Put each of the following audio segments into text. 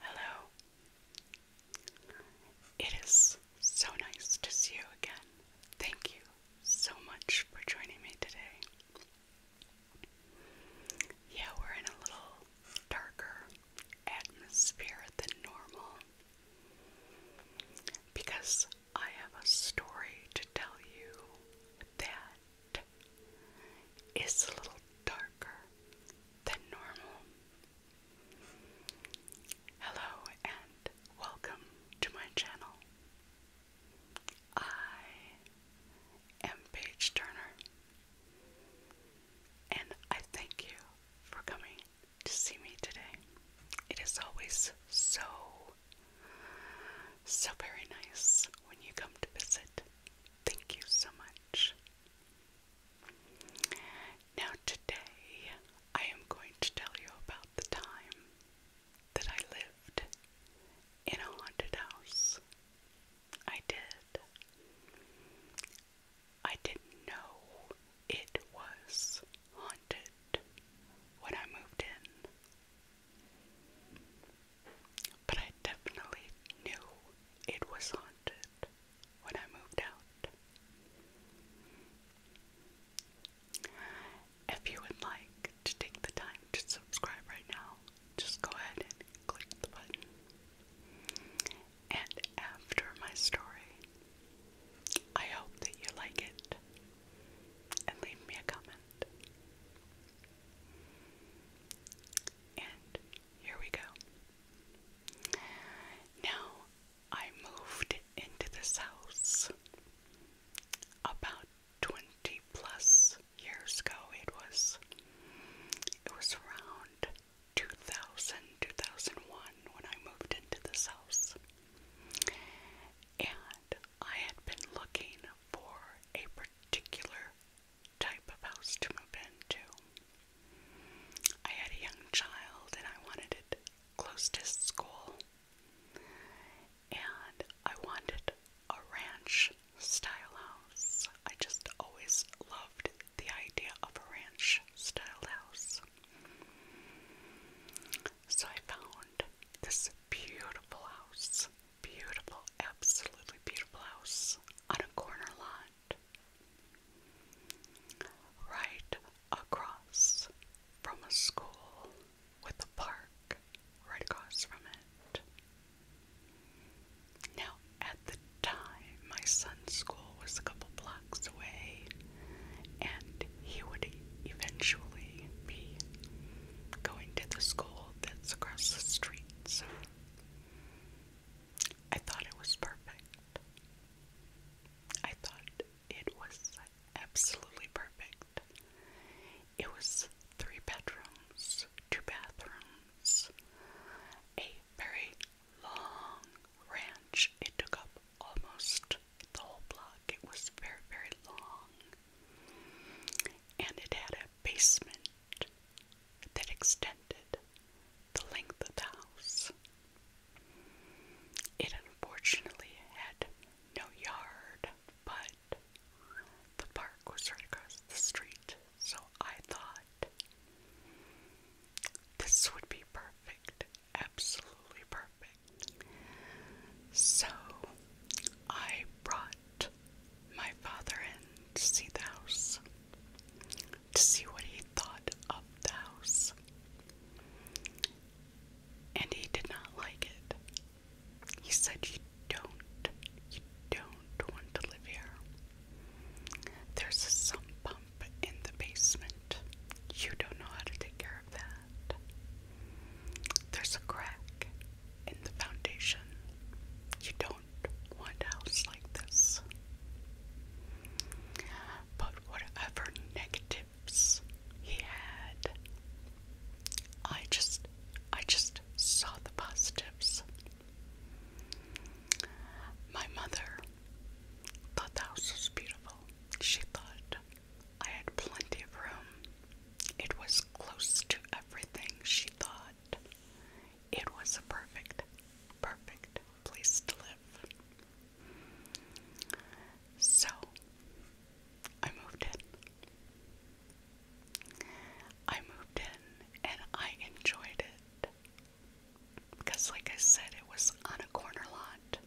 Hello. It is so nice to see you again. Thank you so much for joining me today. Yeah, we're in a little darker atmosphere than normal because I have a story to tell you that is a little darker than normal. Hello and welcome to my channel. I am Paige Turner, and I thank you for coming to see me today. It is always so, so very nice when you come to visit. Thank you so much. Now, today I am going to tell you about the time that I lived in a haunted house. I did. I didn't know it was haunted when I moved in but I definitely knew it was haunted when I moved out. If you would like to take the time to subscribe right now, just go ahead and click the button. And after my story, I hope that you like it and leave me a comment. And here we go. Now, I moved into this house about 20 plus years ago. It was it was around 2000, 2001 when I moved into this house. And I had been looking for a particular type of house to move into. I had a young child and I wanted it close to school. And I wanted a ranch style house. I just always loved the idea of a ranch style house. So I found this beautiful house, beautiful, absolutely beautiful house on a corner lot Right across from a school with a park right across from it. Now, at the time, my son's school was a couple blocks away, and he would eventually be going to the school that's across the street. So I thought it was perfect. I thought it was absolutely perfect. It was three bedrooms, two bathrooms, a very long ranch. It took up almost the whole block. It was very, very long. And it had a basement that extended the length of the house. It unfortunately had no yard, but the park was right across the street, so I thought this would be perfect, absolutely perfect. So I brought my father in to see the house to see what he thought of the house. And he did not like it. He said, You don't, you don't want to live here. There's a sump pump in the basement. You don't know how to take care of that. There's a crack in the foundation. You don't White House like this. But whatever negatives he had, I just I just saw the positives. My mother thought the house was beautiful. She thought I had plenty of room. It was close to everything, she thought. It was a perfect, perfect place to live. So I moved in. I moved in and I enjoyed it. Because, like I said, it was on a corner lot.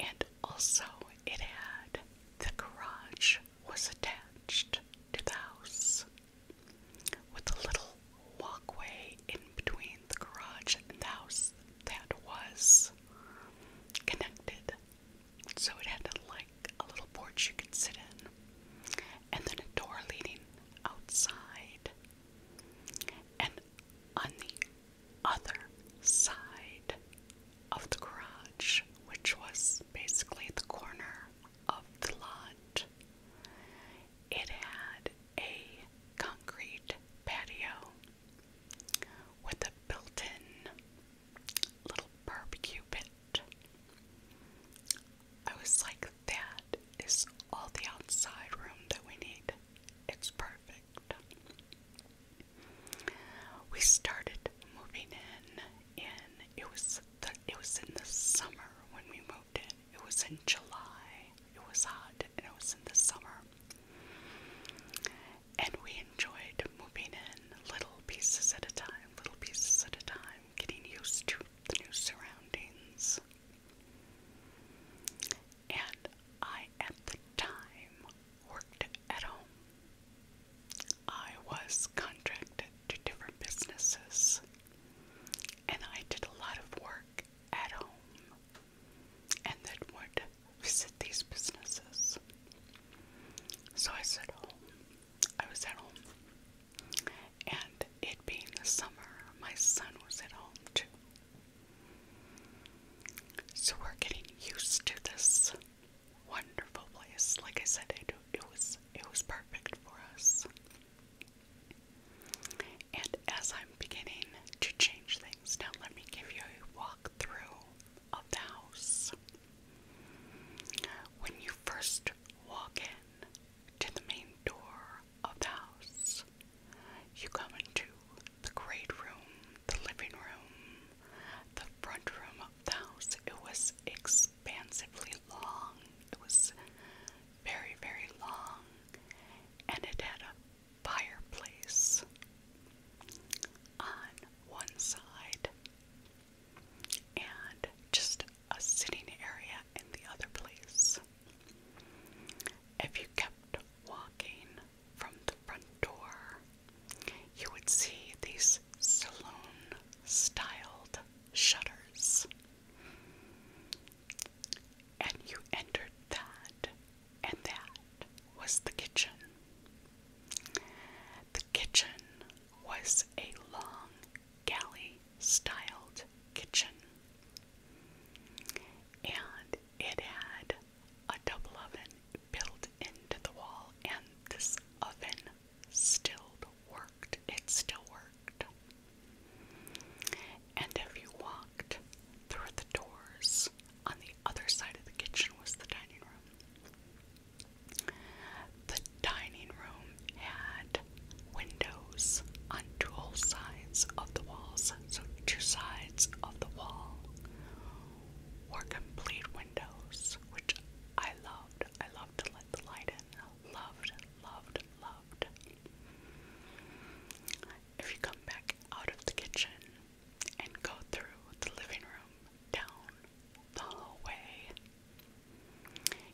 And also, it had the garage was attached to the house with a little walkway in between the garage and the house that was connected. So it had like a little porch you could sit in, and then a door leading outside. And on the other side of the garage, which was basically the corner of the lot. It had a concrete patio with a built in little barbecue pit. I was like, that is all the outside room that we need. It's perfect. We started moving in, and it was the, it was in the summer when we moved in. It was in July. It was hot and it was in the summer. And we enjoyed moving in little pieces at a time, little pieces at a time, getting used to the new surroundings. And I, at the time, worked at home. I was contracted to different businesses and I did a lot of work at home and then would visit these businesses. So I said home. I was at home. And it being the summer, my son was at home too. So we're getting used to this wonderful place. Like I said, it was it was perfect for us. And as I'm beginning to change things, now let me give you a walkthrough of the house. When you first walk in to the main door of the house, you come into the great room, the living room, the front room of the house. It was expensive expansively long. It was very, very long, and it had a fireplace on one side and just a sitting area in the other place. If you kept walking from the front door, you would see these saloon styled shutters and you entered that, and that was the kitchen. The kitchen was a long galley styled kitchen, and it had a double oven built into the wall, and this oven still worked. It still worked. And if you walked through the doors, on the other side of the kitchen was the dining room. The dining room had windows on dual sides of the walls, so two sides of the wall were complete windows, which I loved. I loved to let the light in. Loved, loved, loved. If you come back out of the kitchen and go through the living room down the hallway,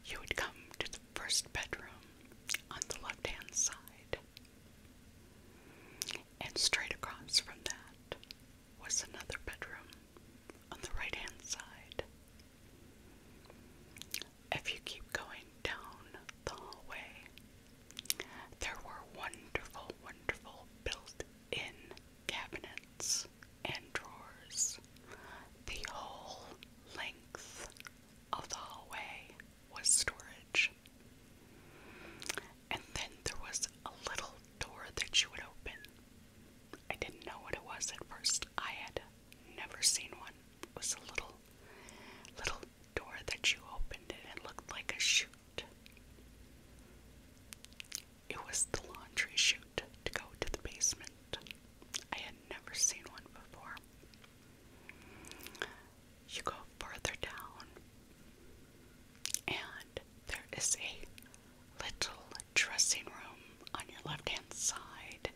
you would come to the first bedroom on the left hand side. And straight across from that was another bedroom on the right hand side. If you keep going down the hallway, there were wonderful, wonderful built in cabinets and drawers. The whole length of the hallway was storage. And then there was a little door that you would open. I didn't know what it was at first. I had never seen one. It was a little little door that you opened and it looked like a chute. It was the laundry chute to go to the basement. I had never seen one before. You go further down, and there is a little dressing room on your left hand side,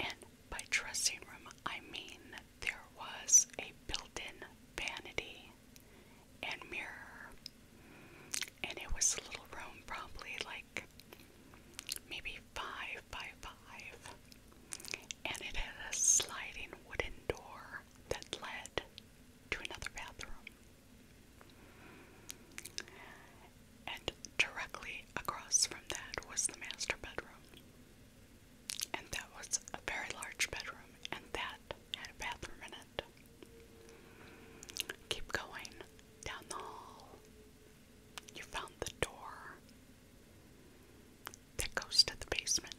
and by dressing room, I mean there was a built in vanity and mirror. And it was a little room, probably like maybe five by five. And it had a sliding wooden door that led to another bathroom and directly across from that was the master bedroom. And that was a very large bedroom, and that had a bathroom in it. Keep going down the hall. You found the door that goes to the basement.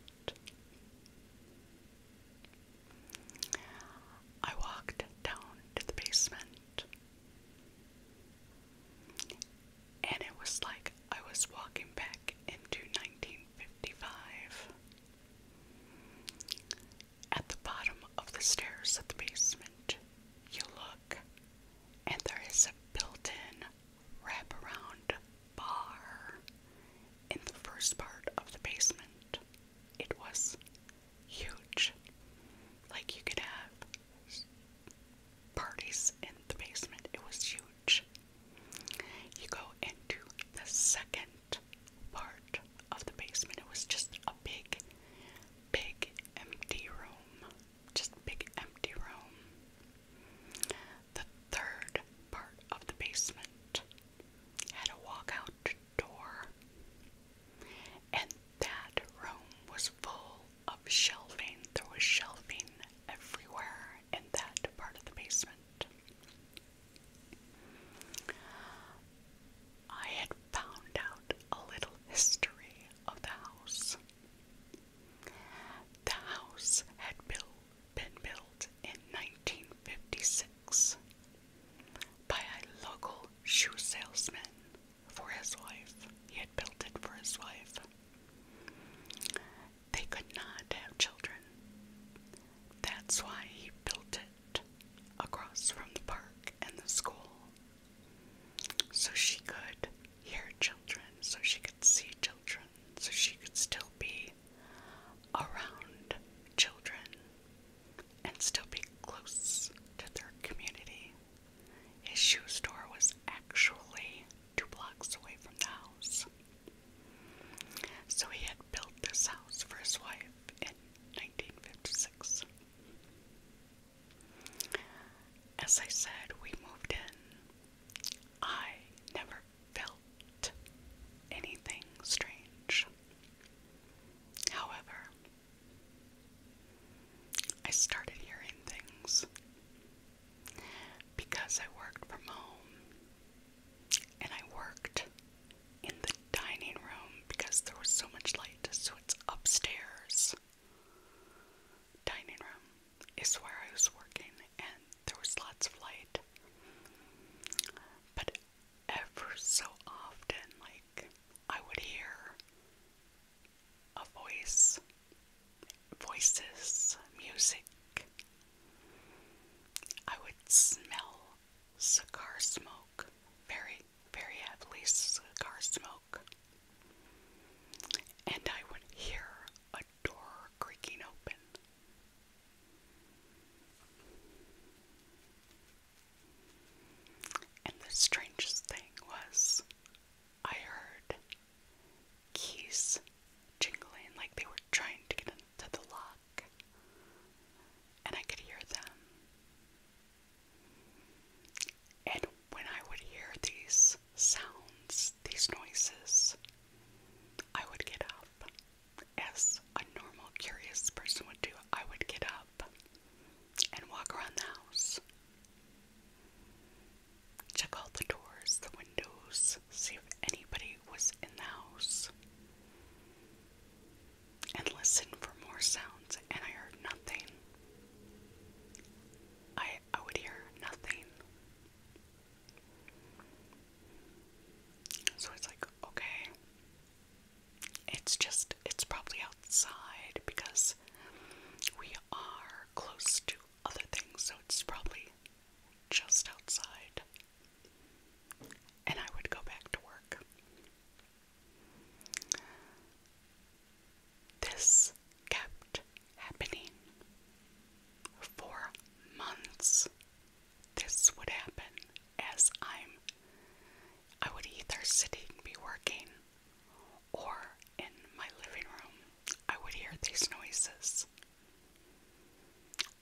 I walked down to the basement. And it was like I was walking back into 1955. At the bottom of the stairs at the basement, you look, and there is a built in wraparound bar in the first part of the basement. It was huge. Like you could have parties in the basement. It was huge. You go into the second part of the basement. It was just a big, big empty room. Just big empty room. The third part of the basement had a walkout door. And that room was full of shelving. There was shelving everywhere in that part of the basement. I had found out a little history of the house. The house had built, been built in 1956 by a local shoe salesman for his wife. He had built it for his wife. They could not have children. That's why he built it across from the park and the school. So she could hear children, so she could see children, so she could still be around children and still be close to their community. His shoe store was actually two blocks away from the house. So he had built this house for his wife in 1956. As I said, we moved in. I never felt anything strange. However, I started hearing things because I worked from home and I worked in the dining room because there was so much light, so it's upstairs. Dining room is where I was working, and there was lots of light. But ever so often, like, I would hear a voice, voices, music. I would smell cigar smoke, very, very heavily cigar smoke. And I would hear a door creaking open. And the strangest thing was I heard keys jingling like they were trying to get into the lock, and I could hear them. And when I would hear these sounds, these noises, I would get up. As a normal, curious person would do, I would get up and walk around the house. Check all the doors, the windows, see if anybody was in the house. And listen for more sounds, and I heard nothing. I I would hear nothing. So it's like, okay. It's just it's probably outside because we are close to other things, so it's probably just outside. And I would go back to work. This kept happening. For months, this would happen as I'm. I would either sitting be working or in my living room, I would hear these noises.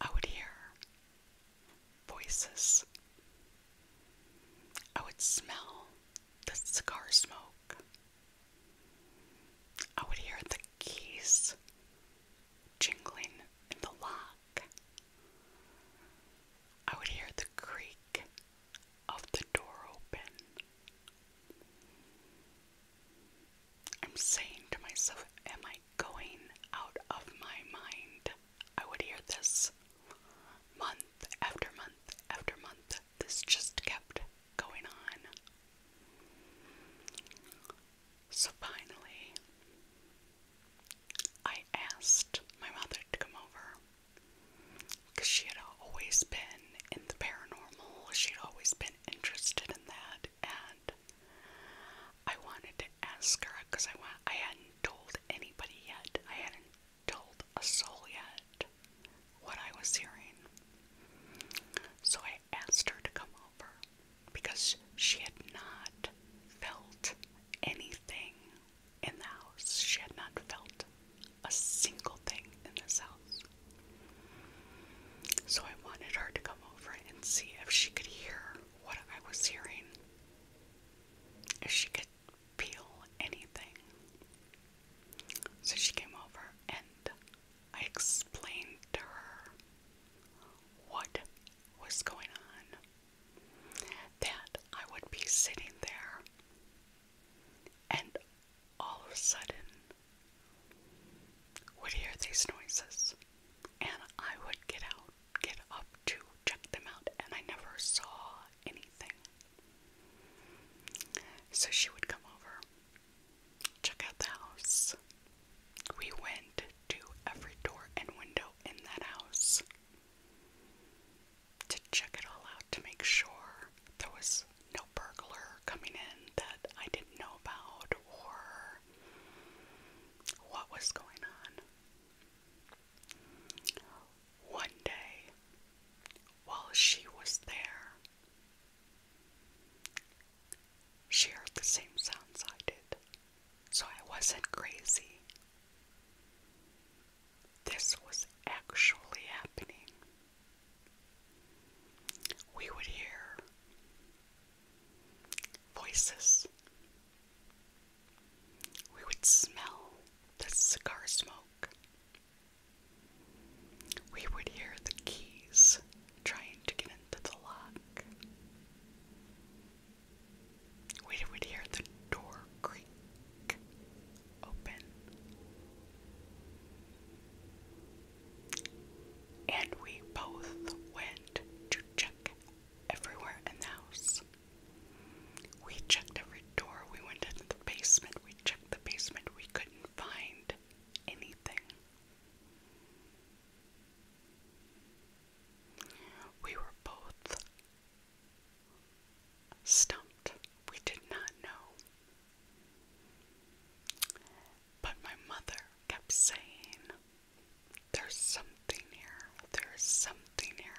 I would hear voices. I would smell the cigar smoke. I would hear the keys jingling in the lock. I would hear the creak of the door open. I'm saying to myself, Am I going out of my mind? I would hear this month after month after month. This just kept going on. So finally, I asked my mother to come over. Because she had always been in the paranormal, she had always been interested in that, and I wanted to ask her because I, I hadn't told anybody yet, I hadn't told a soul yet what I was hearing. So I asked her to come over because she had not felt anything in the house. She had not felt a single thing in this house. So I wanted her to come over and see if she could hear what I was hearing, if she could feel anything. So she came over and I explained to her what was going on. That I would be sitting there and all of a sudden would hear these noises and I would get out, get up to check them out, and I never saw anything. So she would come over, check out the house. We went to every door and window in that house to check it all out to make sure there was no burglar coming in that I didn't know about or what was going on. One day, while she was there, she heard the same sounds I did, so I wasn't crazy. This was actually happening we would hear voices. We would smell the cigar smoke. We would hear the keys trying to get into the lock. We would hear the door creak open. And we both went to check everywhere in the house. We checked every door, we went into the basement, we checked the basement, we couldn't find anything. We were both stumped. We did not know. But my mother kept saying, There's something here, there's something here.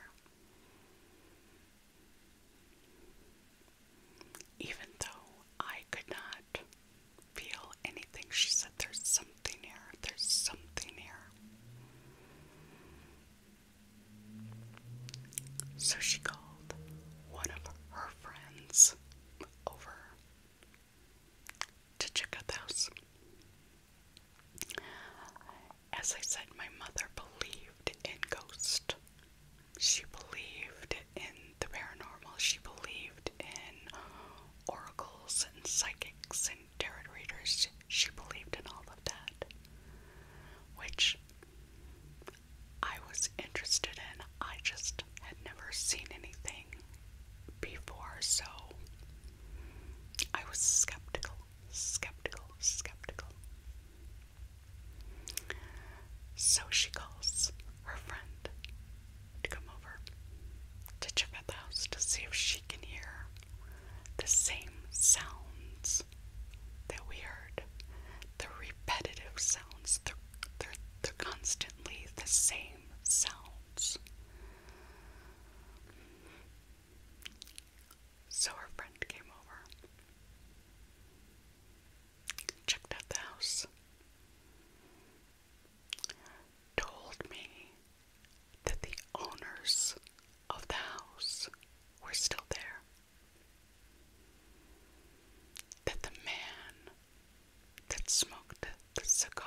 Even though I could not feel anything, she said, There's something here, there's something here. So she called one of her friends over to check out the house. As I said, my mother believed in ghosts. She believed in the paranormal. She believed in oracles and psychics and tarot readers. She believed in all of that. Which I was interested in. I just had never seen anything before, so I was skeptical, skeptical, skeptical. So she calls her friend to come over to check out the house to see if she can hear the same sounds that we heard the repetitive sounds, they're, they're constantly the same sounds. So her friend came over, checked out the house, told me that the owners of the house were still there that the man that smoked the cigar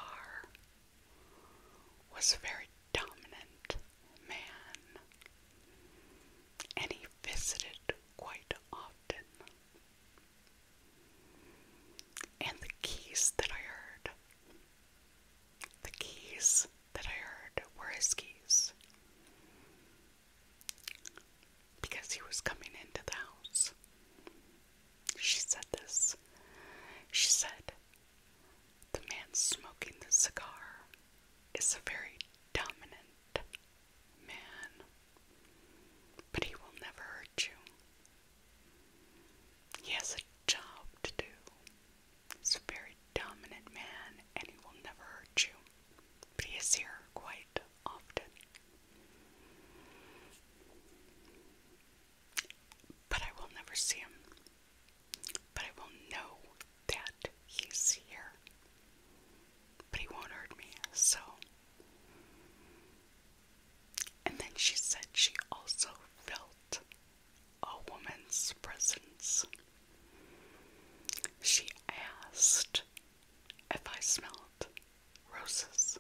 was a very dominant man and he visited quite often. And the keys that I heard, the keys that I heard were his keys because he was coming into the house. She said this. She said, The man smoking the cigar is a very dominant man, but he will never hurt you. He has a job to do. He's a very dominant man and he will never hurt you. But he is here quite but I will never see him. But I will know that he's here. But he won't hurt me, so. And then she said she also felt a woman's presence. She asked if I smelled roses,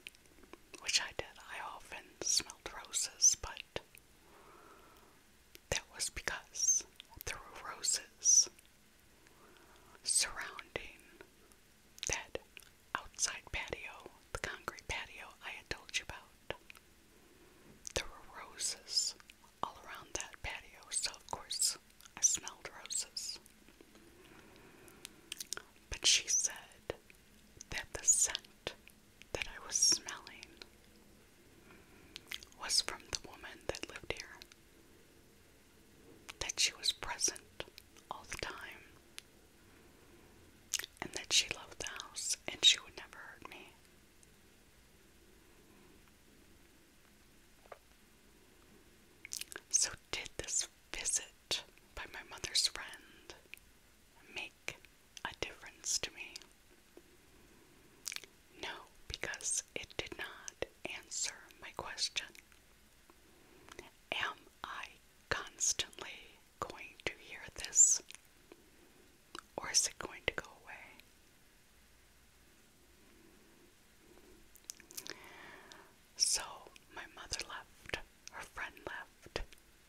which I did. I often smelled roses, but that was because there were roses surrounding that outside patio, the concrete patio I had told you about. There were roses all around that patio, so of course I smelled roses. But she said that the scent that I was smelling was from the woman that lived here, that she was present all the time, and that she loved the house and she would never hurt me. So, did this visit by my mother's friend make a difference to me? No, because it did not answer my question. Am I constantly going to hear this? Or is it going to go away? So my mother left, her friend left,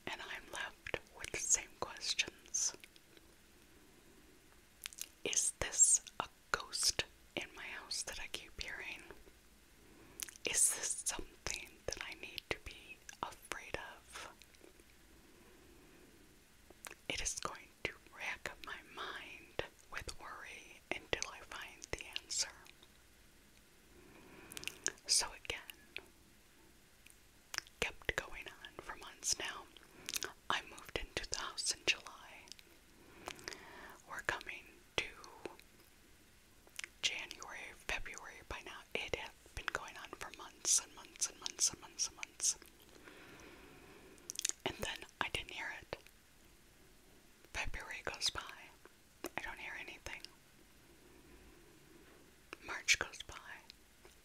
and I'm left with the same questions. Is this a ghost in my house that I keep hearing? Is this something that I need to be afraid of? It is going to rack my mind with worry until I find the answer. So again, kept going on for months now. I moved into the house in July. We're coming to January, February by now. It had been going on for months and months and months and months and months. And then I didn't hear it. February goes by. I don't hear anything. March goes by.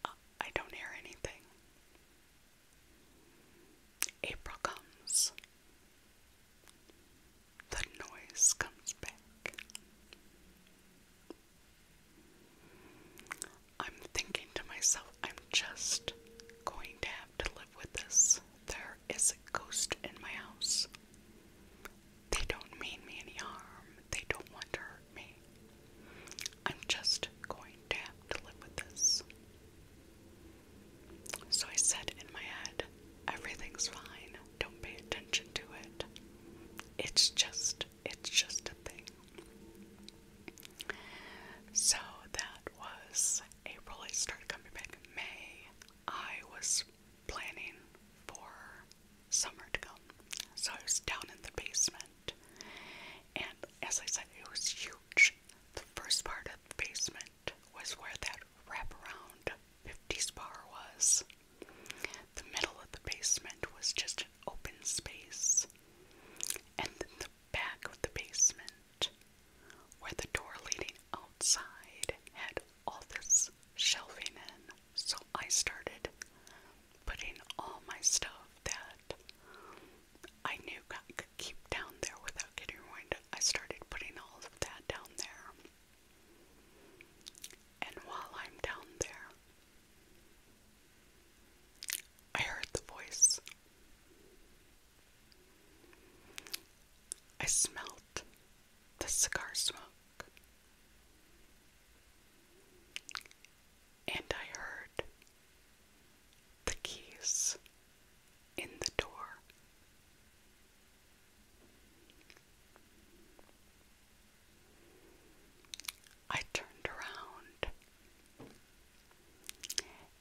Uh, I don't hear anything. April comes. The noise comes back. I'm thinking to myself, I'm just going to have to live with this there is a ghost in my house. They don't mean me any harm. They don't want to hurt me. I'm just going to have to live with this. So I said in my head, everything's fine. Don't pay attention to it. It's just, it's just a thing. So that was April. I started coming back in May. I was planning for summer to come. So I was down in the basement. And as I said, it was huge. The first part of the basement was where that wraparound 50s bar was. The middle of the basement was just an open space. And then the back of the basement where the door leading outside had all this shelving in, so I started putting all my stuff that I knew I could keep down there without getting ruined. I started putting all of that down there. And while I'm down there, I heard the voice. I smelt the cigar smoke, and I heard the keys in the door. I turned around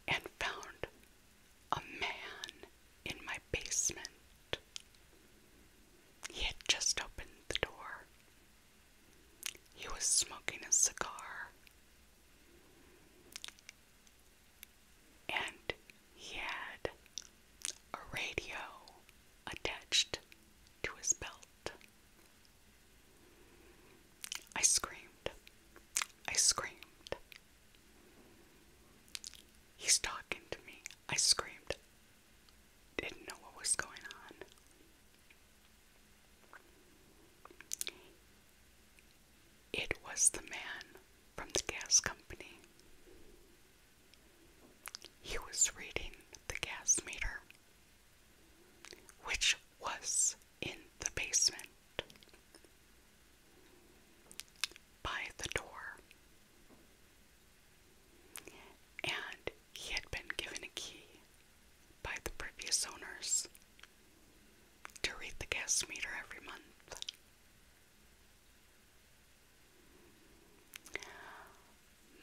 and found a man in my basement. He had just opened the door. He was smoking a cigar. And he had a radio attached to his belt. I screamed. I screamed. He's talking to me. I screamed. Didn't know what was going on. It was the man from the gas company. He was reading the gas meter, which was in the basement by the door. And he had been given a key by the previous owners to read the gas meter every month.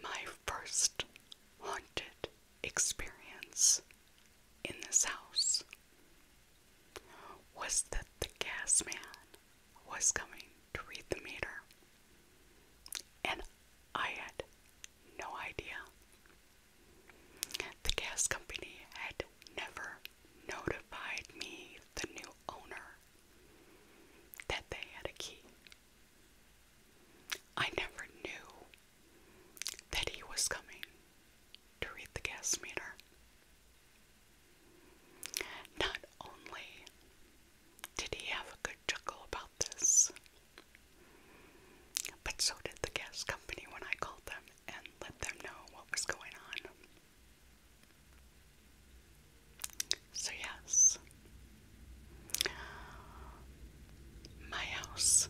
My first haunted experience in this house was that the gas man was coming to read the meter, and I had no idea. The gas company had never notified me, the new owner, that they had a key. I never knew that he was coming to read the gas meter. Not only did he have a good chuckle about this, but so did the gas company when I called them and let them know what was going on. So, yes, my house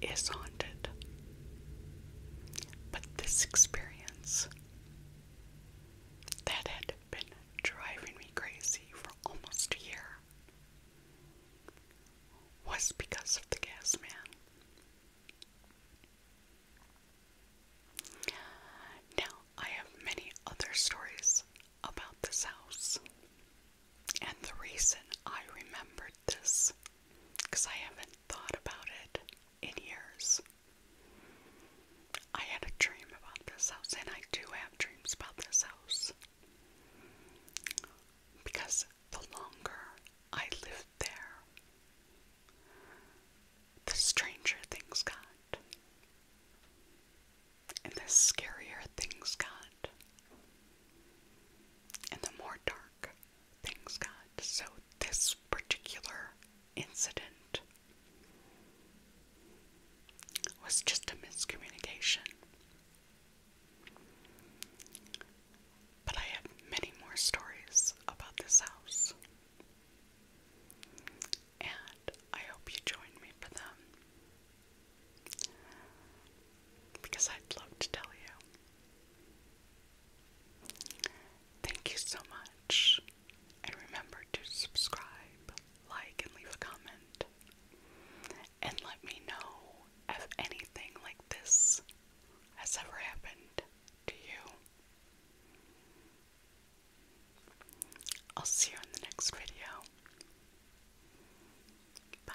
is haunted, but this experience that had been driving me crazy for almost a year was because of the gas man. Now, I have many other stories about this house, and the reason I remembered this, because I haven't thought about it in years. I had a dream about this house, and I do have dreams about this house. Because the longer I lived there, the stranger things got, and the scarier things got, and the more dark things got. So, this particular incident was just a miscommunication. But I have many more stories about this house. And I hope you join me for them. Because I'd love to tell you. Thank you so much. And remember to subscribe, like, and leave a comment. And let me know if anything like this has ever happened to you. I'll see you in the next video. Bye.